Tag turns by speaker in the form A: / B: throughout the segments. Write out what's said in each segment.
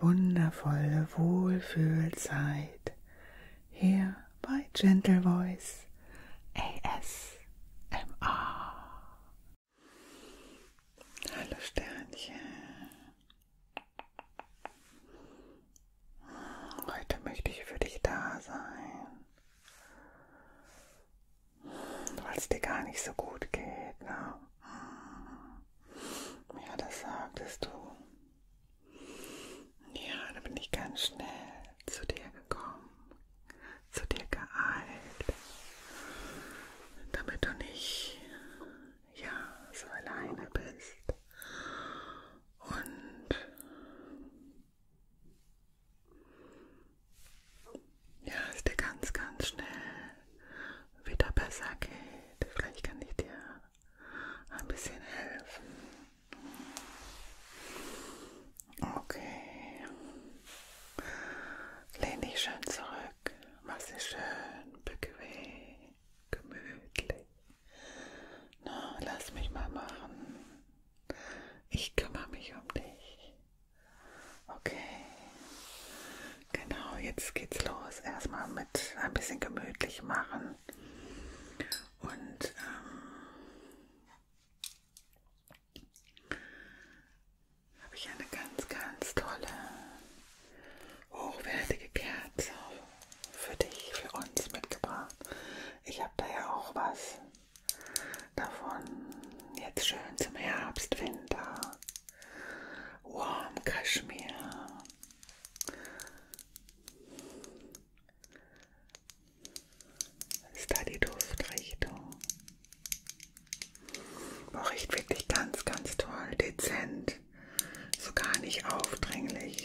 A: wundervolle Wohlfühlzeit hier bei Gentle Voice ASMR. Hallo Sternchen. Heute möchte ich für dich da sein. Weil es dir gar nicht so gut geht, ne? Ja, das sagtest du. Ja, da bin ich ganz schnell zu dir gekommen, zu dir geeilt, damit du nicht, ja, so alleine bist. Und ja, ist dir ganz, ganz schnell wieder besser geht. Vielleicht kann ich dir ein bisschen helfen. Okay. Lehn dich schön zurück. Mach dich schön bequem, gemütlich. Na, lass mich mal machen. Ich kümmere mich um dich. Okay. Genau, jetzt geht's los. Erstmal mit ein bisschen gemütlich machen. Und ähm, habe ich eine ganz, ganz tolle, hochwertige Kerze für dich, für uns mitgebracht. Ich habe da ja auch was davon. Jetzt schön zum Herbst, Winter. Warm Kaschmir. Ist da die Duftrichtung? Boah, riecht wirklich ganz, ganz toll. Dezent. So gar nicht aufdringlich.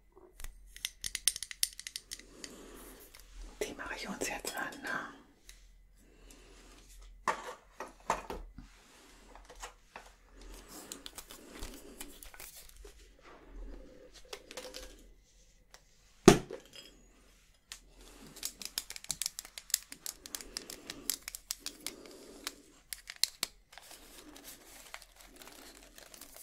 A: Die mache ich uns jetzt an. Ne?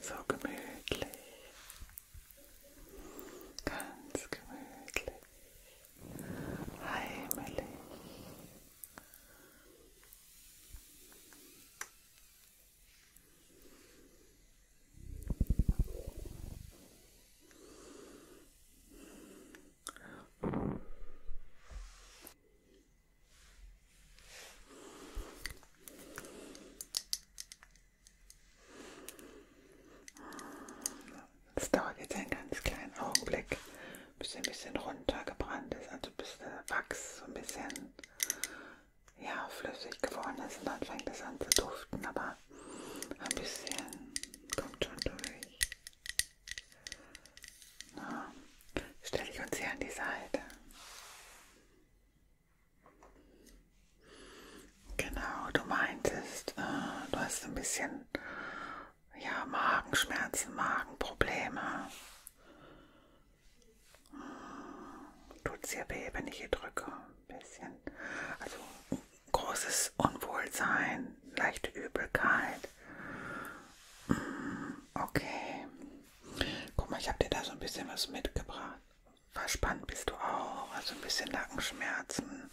A: So gemütlich. Ganz gemütlich. Heimelig. Es dauert jetzt einen ganz kleinen Augenblick, bis ein bisschen runtergebrannt ist, also bis der Wachs so ein bisschen ja, flüssig geworden ist und dann fängt es an zu duften, aber ein bisschen kommt schon durch. Na, stelle ich uns hier an die Seite. Genau, du meintest, äh, du hast ein bisschen ja, Magenschmerzen, Magenprobleme. Hm, tut's hier weh, wenn ich hier drücke? Ein bisschen. Also großes Unwohlsein, leichte Übelkeit. Hm, okay. Guck mal, ich habe dir da so ein bisschen was mitgebracht. Verspannt bist du auch, also ein bisschen Nackenschmerzen,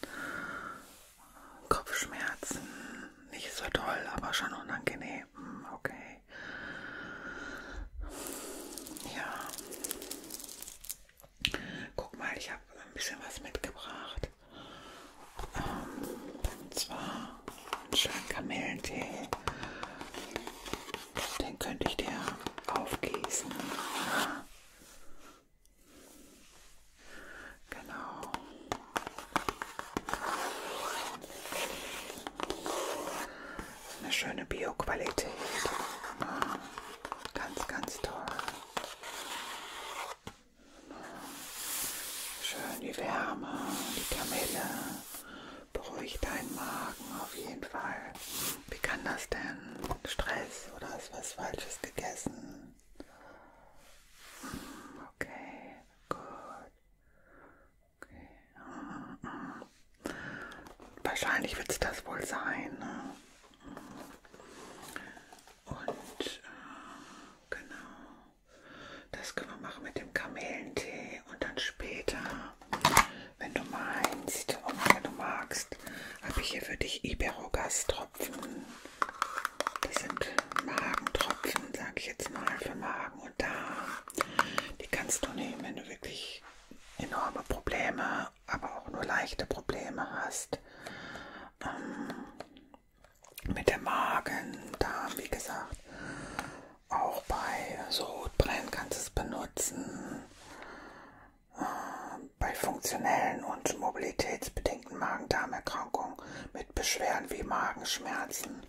A: Kopfschmerzen. Nicht so toll, aber schon unangenehm. Hm, okay. Ja. Guck mal, ich habe ein bisschen was mitgebracht. Ähm, und zwar einen schönen Kamillentee. Den könnte ich dir aufgießen. Ja. Genau. Eine schöne Bio-Qualität. Ja. Ganz, ganz toll. Schön die Wärme, die Kamille beruhigt deinen Magen auf jeden Fall. Wie kann das denn? Stress oder hast was Falsches gegessen? Hm, okay, gut. Okay. Hm, hm, Wahrscheinlich wird es das wohl sein. Ne? Und äh, genau. Das können wir machen mit dem Kamelentee und dann später, wenn du meinst und wenn du magst, habe ich hier für dich Iberogastropfen. Das sind Magentropfen, sage ich jetzt mal, für Magen und Darm. Die kannst du nehmen, wenn du wirklich enorme Probleme, aber auch nur leichte Probleme hast. Ähm, mit dem Magen, Darm, wie gesagt. Auch bei so Sodbrennen kannst du es benutzen. Äh, bei funktionellen und mobilitätsbedingten Magen-Darm-Erkrankungen mit Beschwerden wie Magenschmerzen,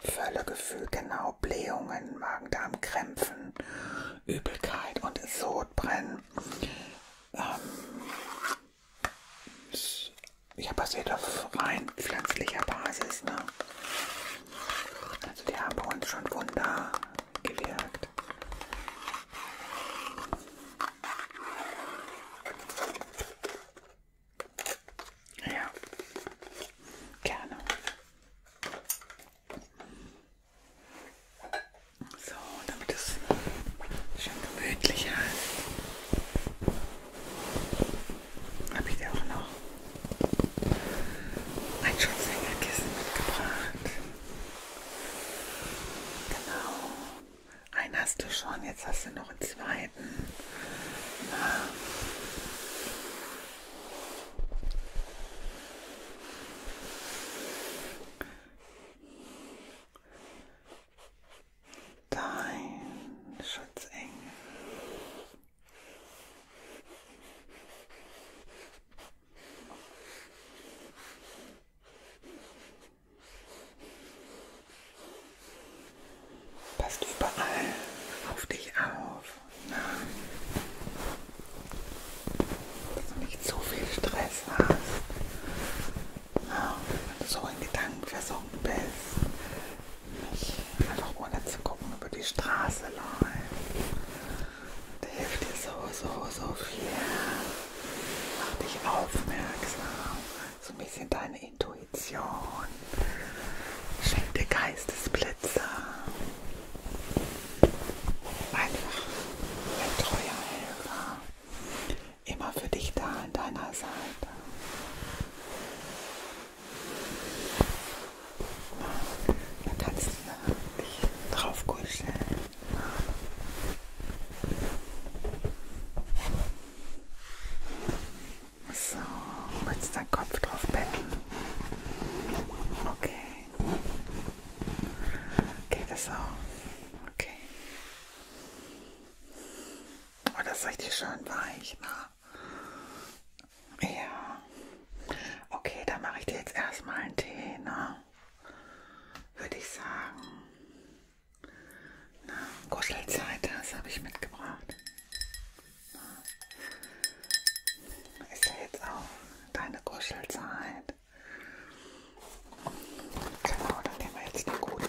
A: Völlegefühl, genau Blähungen, Magen-Darm-Krämpfen, Übelkeit und Sodbrennen. Ähm, ja, basiert auf rein pflanzlicher Basis. Ne? Also die haben uns schon Wunder gewirkt. Ja, gerne. So, damit es schön gemütlicher ist habe ich dir auch noch ein Schutzhängerkissen mitgebracht. Genau. Einen hast du schon, jetzt hast du noch einen zweiten. Na. Dein Schutzengel. Passt überall auf dich auf. Na? Dass du nicht zu viel Stress hast. Na? Wenn du so in Gedanken versunken bist, Einfach ohne zu gucken über die Straße laufen. Der hilft dir so, so, so viel. Mach dich aufmerksam. So ein bisschen deine Intuition. Schenk dir Geistesblitze. Einfach ein treuer Helfer. Immer für dich da an deiner Seite. Da kannst du dich drauf kuscheln. So, willst du deinen Kopf drauf betten? Okay. Geht das auch? Okay. Oh, das ist richtig schön weich, ne? Ja. Okay, dann mache ich dir jetzt erstmal einen Tee, ne? Würde ich sagen. Na, Kuschelzeit, das habe ich mitgebracht. Na, ist ja jetzt auch deine Kuschelzeit. Genau, dann nehmen wir jetzt einen guten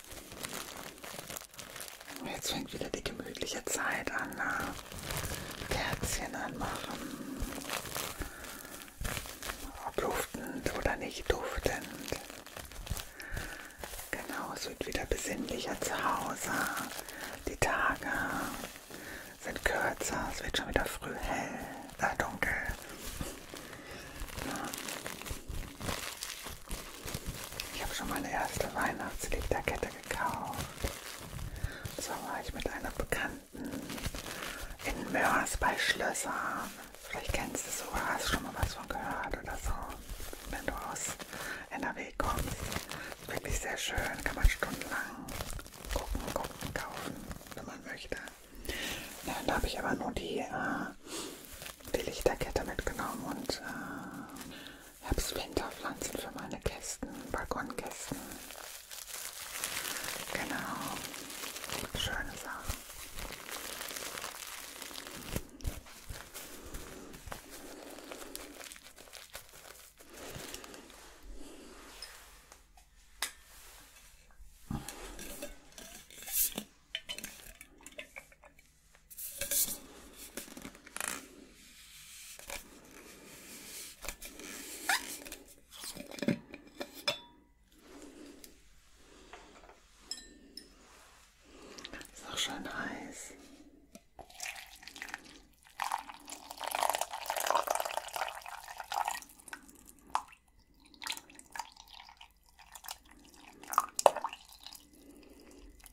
A: Oh, jetzt fängt wieder die gemütliche Zeit an. Na? Ne? Kerzchen anmachen. Ob duftend oder nicht duftend. Genau, es wird wieder besinnlicher zu Hause. Die Tage sind kürzer. Es wird schon wieder früh hell, äh, dunkel. Ja. Ich habe schon meine erste Weihnachtslichterkette gekauft. So war ich mit einer Bekannten in Mörs bei Schlössern. Vielleicht kennst du es oder hast schon mal was von gehört oder so. Wenn du aus NRW kommst. Wirklich sehr schön, kann man stundenlang gucken, gucken, kaufen, wenn man möchte. Ja, da habe ich aber nur die, äh, die Lichterkette mitgenommen und äh, Herbst-Winterpflanzen für meine Kästen, Balkonkästen. Genau, schöne Sachen. Ist auch schon heiß.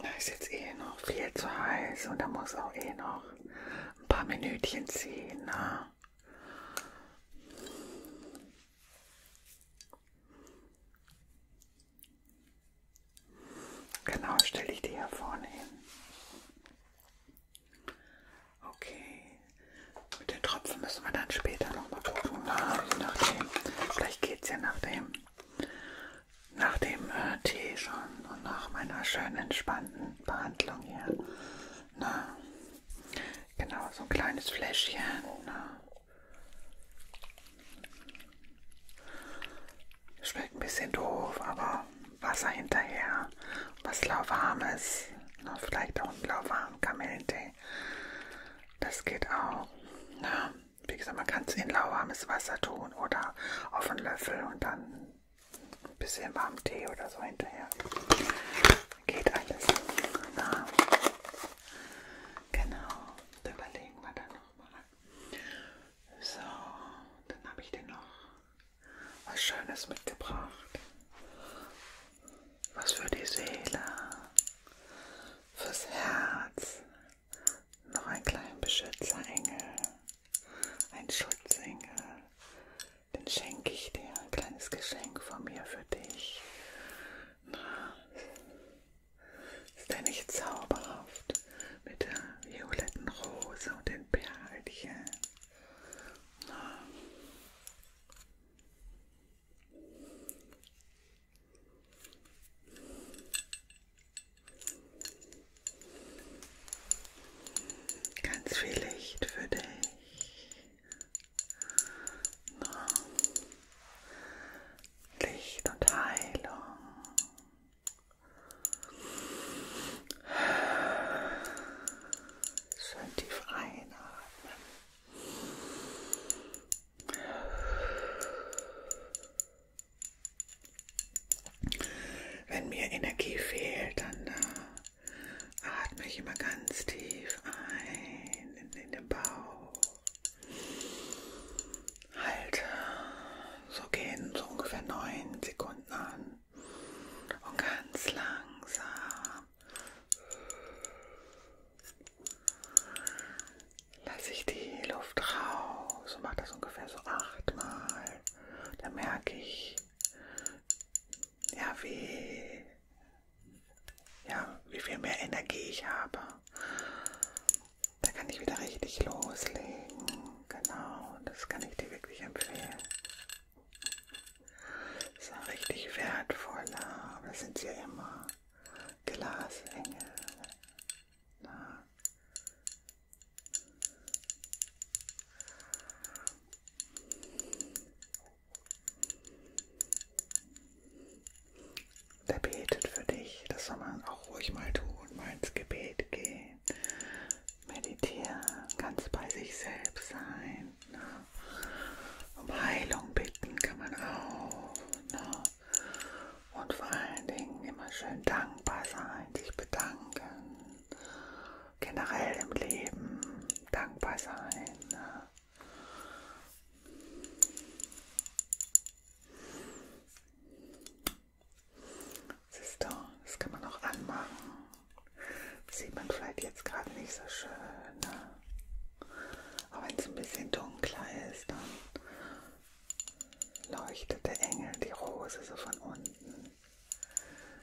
A: Da ist jetzt eh noch viel zu heiß und da muss auch eh noch ein paar Minütchen ziehen. Ne? Genau, stelle ich die hier vorne hin. Okay. Mit den Tropfen müssen wir dann später nochmal gucken. Na, ne? je nachdem. Vielleicht geht es ja nach dem, nach dem äh, Tee schon und nach meiner schönen entspannten Behandlung hier. Na, ne? genau, so ein kleines Fläschchen. Na. Ne? Schmeckt ein bisschen doof, aber Wasser hinterher, was lauwarmes, vielleicht auch ein lauwarmen Kamillentee dabei. Das geht auch. Na, wie gesagt, man kann es in lauwarmes Wasser tun oder auf einen Löffel und dann ein bisschen warmen Tee oder so hinterher. Geht alles. Na, genau, da überlegen wir dann nochmal. So, dann habe ich dir noch was Schönes mitgebracht was für die Seele, fürs Herz. Noch ein kleinen Beschützerengel, ein Schutzengel. Den schenke ich dir, ein kleines Geschenk von mir für dich. Na, ist der nicht zauberhaft mit der violetten Rose und den Perlchen? Na. Ganz viel Licht für dich. Licht und Heilung. Schön tief einatmen. Wenn mir Energie fehlt, dann äh, atme ich immer ganz tief ein in, in den Bauch. Halte, so gehen so ungefähr neun Sekunden an und ganz langsam lasse ich die Luft raus und mache das ungefähr so achtmal. Da merke ich, ja, wie, ja, wie viel mehr Energie ich habe. Da kann ich wieder richtig loslegen. Genau, das kann ich dir wirklich empfehlen. So richtig wertvoller, aber das sind sie ja immer. Glasengel. Na. Der betet für dich. Das soll man auch ruhig mal tun, mal ins Gebet gehen. Meditieren, ganz bei sich selbst sein. Na. Um Heilung bitten kann man auch. Ne? Und vor allen Dingen immer schön dankbar sein, sich bedanken. Generell im Leben dankbar sein. Ne? Siehst du, das kann man auch anmachen. Das sieht man vielleicht jetzt gerade nicht so schön. Ne? Aber wenn es ein bisschen dunkler ist, dann leuchtet der Engel, die Rose so von unten.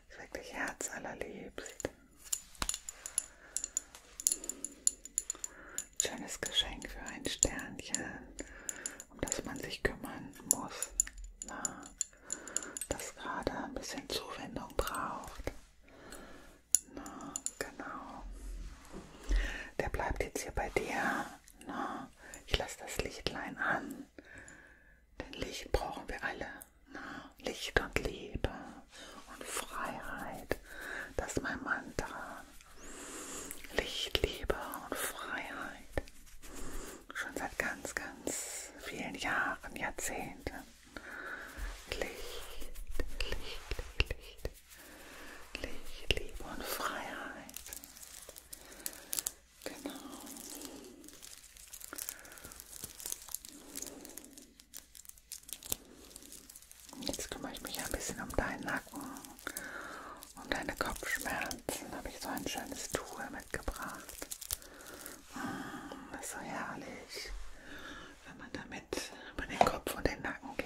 A: Ist wirklich herzallerliebst. Schönes Geschenk für ein Sternchen, um das man sich kümmern muss. Na, ne? das gerade ein bisschen Zuwendung braucht. Na, genau. Der bleibt jetzt hier bei dir. Na, ich lasse das Lichtlein an. Denn Licht brauchen wir alle. Na, Licht und Liebe und Freiheit. Das ist mein Mantra. Licht, Liebe und Freiheit. Schon seit ganz, ganz vielen Jahren, Jahrzehnten. Licht, Licht, Licht, Licht, Liebe und Freiheit. Genau. Jetzt kümmere ich mich ein bisschen um deinen Nacken und um deine Kopfschmerzen. Habe ich so ein schönes Tuch mitgebracht. Das ist so herrlich, wenn man damit über den Kopf und den Nacken geht.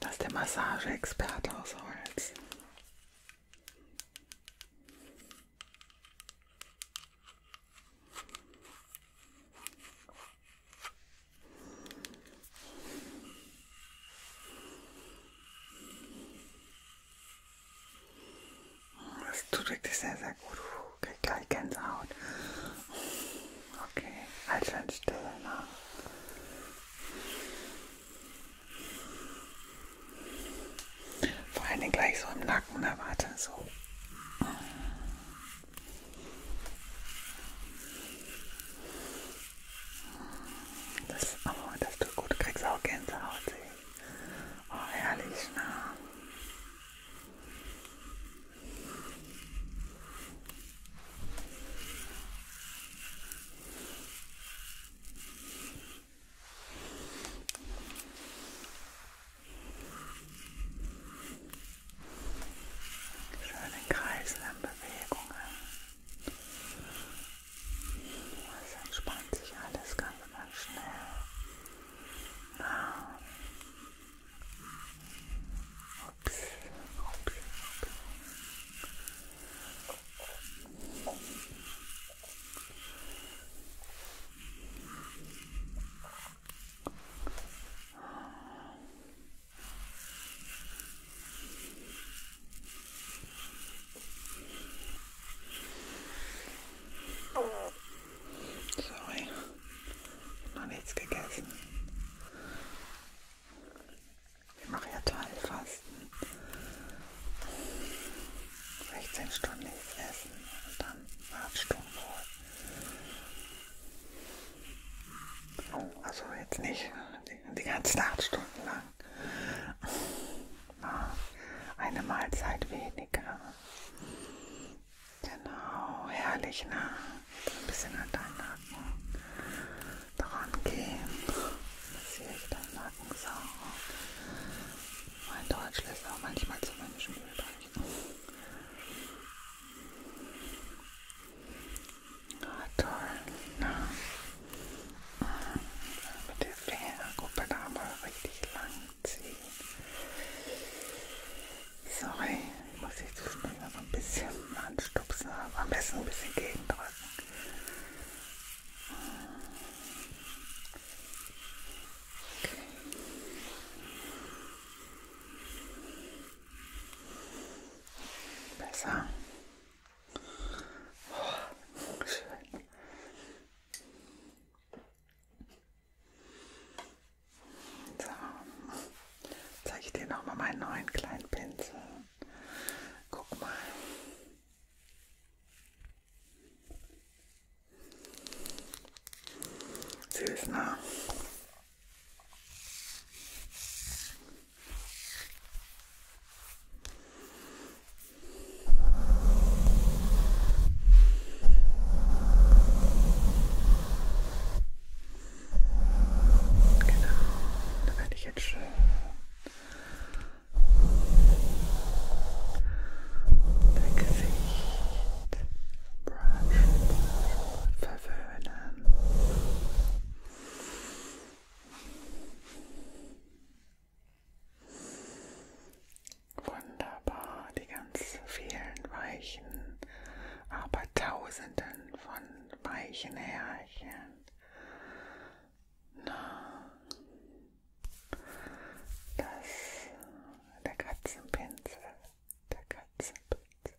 A: Das ist der Massageexperte aus Holz. Das tut wirklich sehr, sehr gut. Kriegt gleich Gänsehaut. Okay, halt schön still nach. Ne? Vor allem gleich so im Nacken, ne? Warte, so. Das, oh, das tut gut. Du kriegst auch Gänsehaut. Oh, herrlich, ne? Schöne kreiselnden Bewegungen. Es entspannt sich alles ganz, ganz schnell. Ah. Ups, ups, ups. Sorry, noch nichts gegessen. Ich mache ja Teilfasten. 16 Stunden nichts essen und dann 8 Stunden Ruhe. Also jetzt nicht die, die ganzen acht Stunden lang. Ah, eine Mahlzeit weniger. Genau, herrlich, ne? Ein bisschen an deinen Nacken dran gehen. Das hier ich deinen Nacken sauber. Mein Deutsch lässt auch manchmal zu Menschen übrig. Ah, toll. Na. Ah, mit der Fingerkuppe da mal richtig lang ziehen. Sorry, ich muss jetzt zwischendurch noch ein bisschen anstupsen, aber am besten ein bisschen gegendrücken. Okay. Besser. Oh, schön. So, zeige ich dir nochmal meinen neuen kleinen Pinsel. Guck mal. Süß, ne? Genau, da werde ich jetzt schön dein Gesicht brushen, brushen, können. Wunderbar, die ganz vielen weichen, aber tausenden von weichen Härchen. Na, das, der Katzenpinsel, der Katzenpinsel.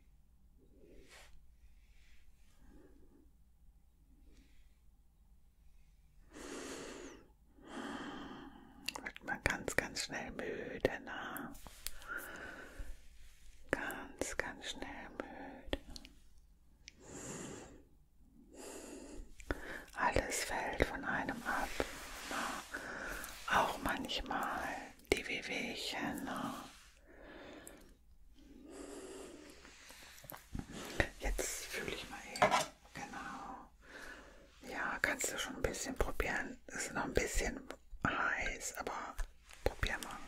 A: Wird man ganz, ganz schnell müde, ne? Ganz, ganz schnell müde. Alles fällt von einem ab. Auch manchmal die Wehwehchen. Ne? Jetzt fühle ich mal eben, genau. Ja, kannst du schon ein bisschen probieren. Ist noch ein bisschen heiß, aber probier mal.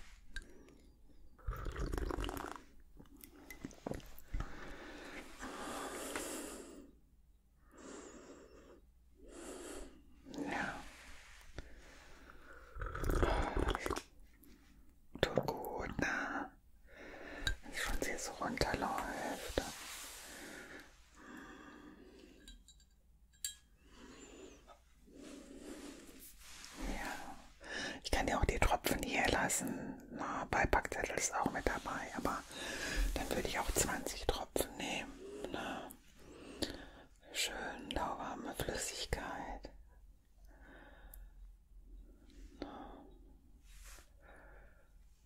A: Ja. Tut gut, ne? Wenn es schon jetzt runterläuft. Ja. Ich kann dir auch die Tropfen hier lassen. Na, Beipackzettel ist auch mit dabei, aber dann würde ich auch 20 Tropfen nehmen. Na. Ne? Schön lauwarme Flüssigkeit.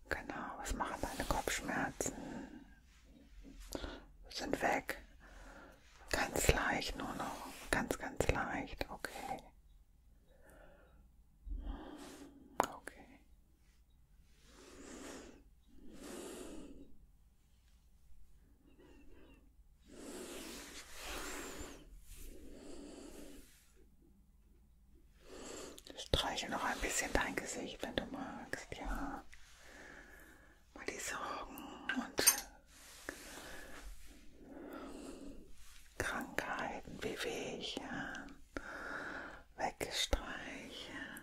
A: Genau, was machen deine Kopfschmerzen? Sind weg. Ganz leicht nur noch. Ganz, ganz leicht. Okay. Okay. Streiche noch ein bisschen dein Gesicht, wenn du magst, ja. Mal die Sorgen und Krankheiten, Bewegchen, weggestreichen.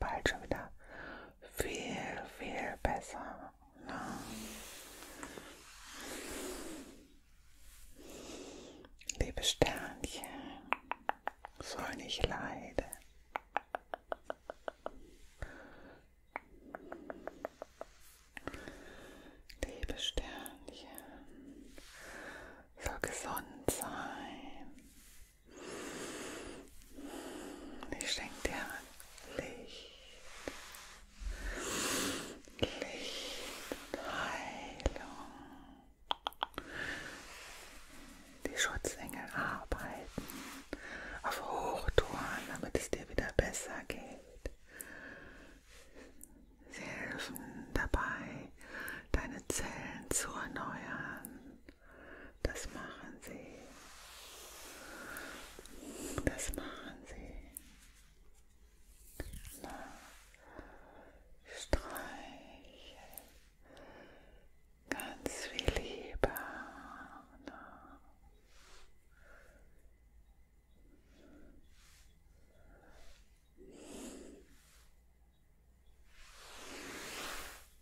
A: bald schon wieder viel, viel besser. Ne? Liebe Sternchen, soll nicht leiden. Liebe Sternchen, soll gesund sein. Ich schenke dir Licht, Licht und Heilung. Die Schutzengel arbeiten auf Hochtouren, damit es dir wieder besser geht. Sie helfen dabei, deine Zellen zu erneuern, das machen sie. Das machen sie. Na, streichen. Ganz viel Liebe. Na.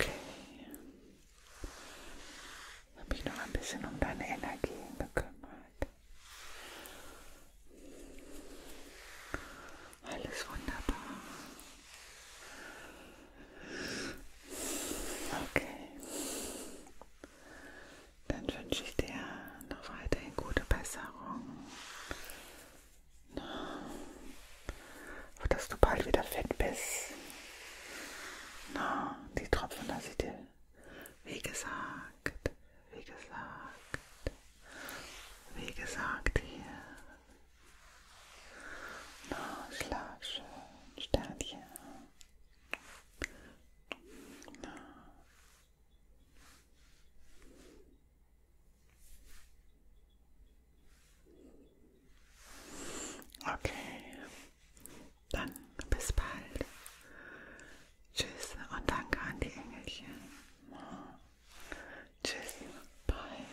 A: Okay. Ich habe mich noch ein bisschen um deine Energien gekümmert. Alles wunderbar. Okay. Dann wünsche ich dir noch weiterhin gute Besserung. Na, dass du bald wieder fit bist. Na, die Tropfen lasse ich dir. Wie gesagt, wie gesagt, wie gesagt hier, na klar, schön. Sternchen. Na. Okay, dann bis bald. Tschüss und danke an die Engelchen. Tschüss, bye.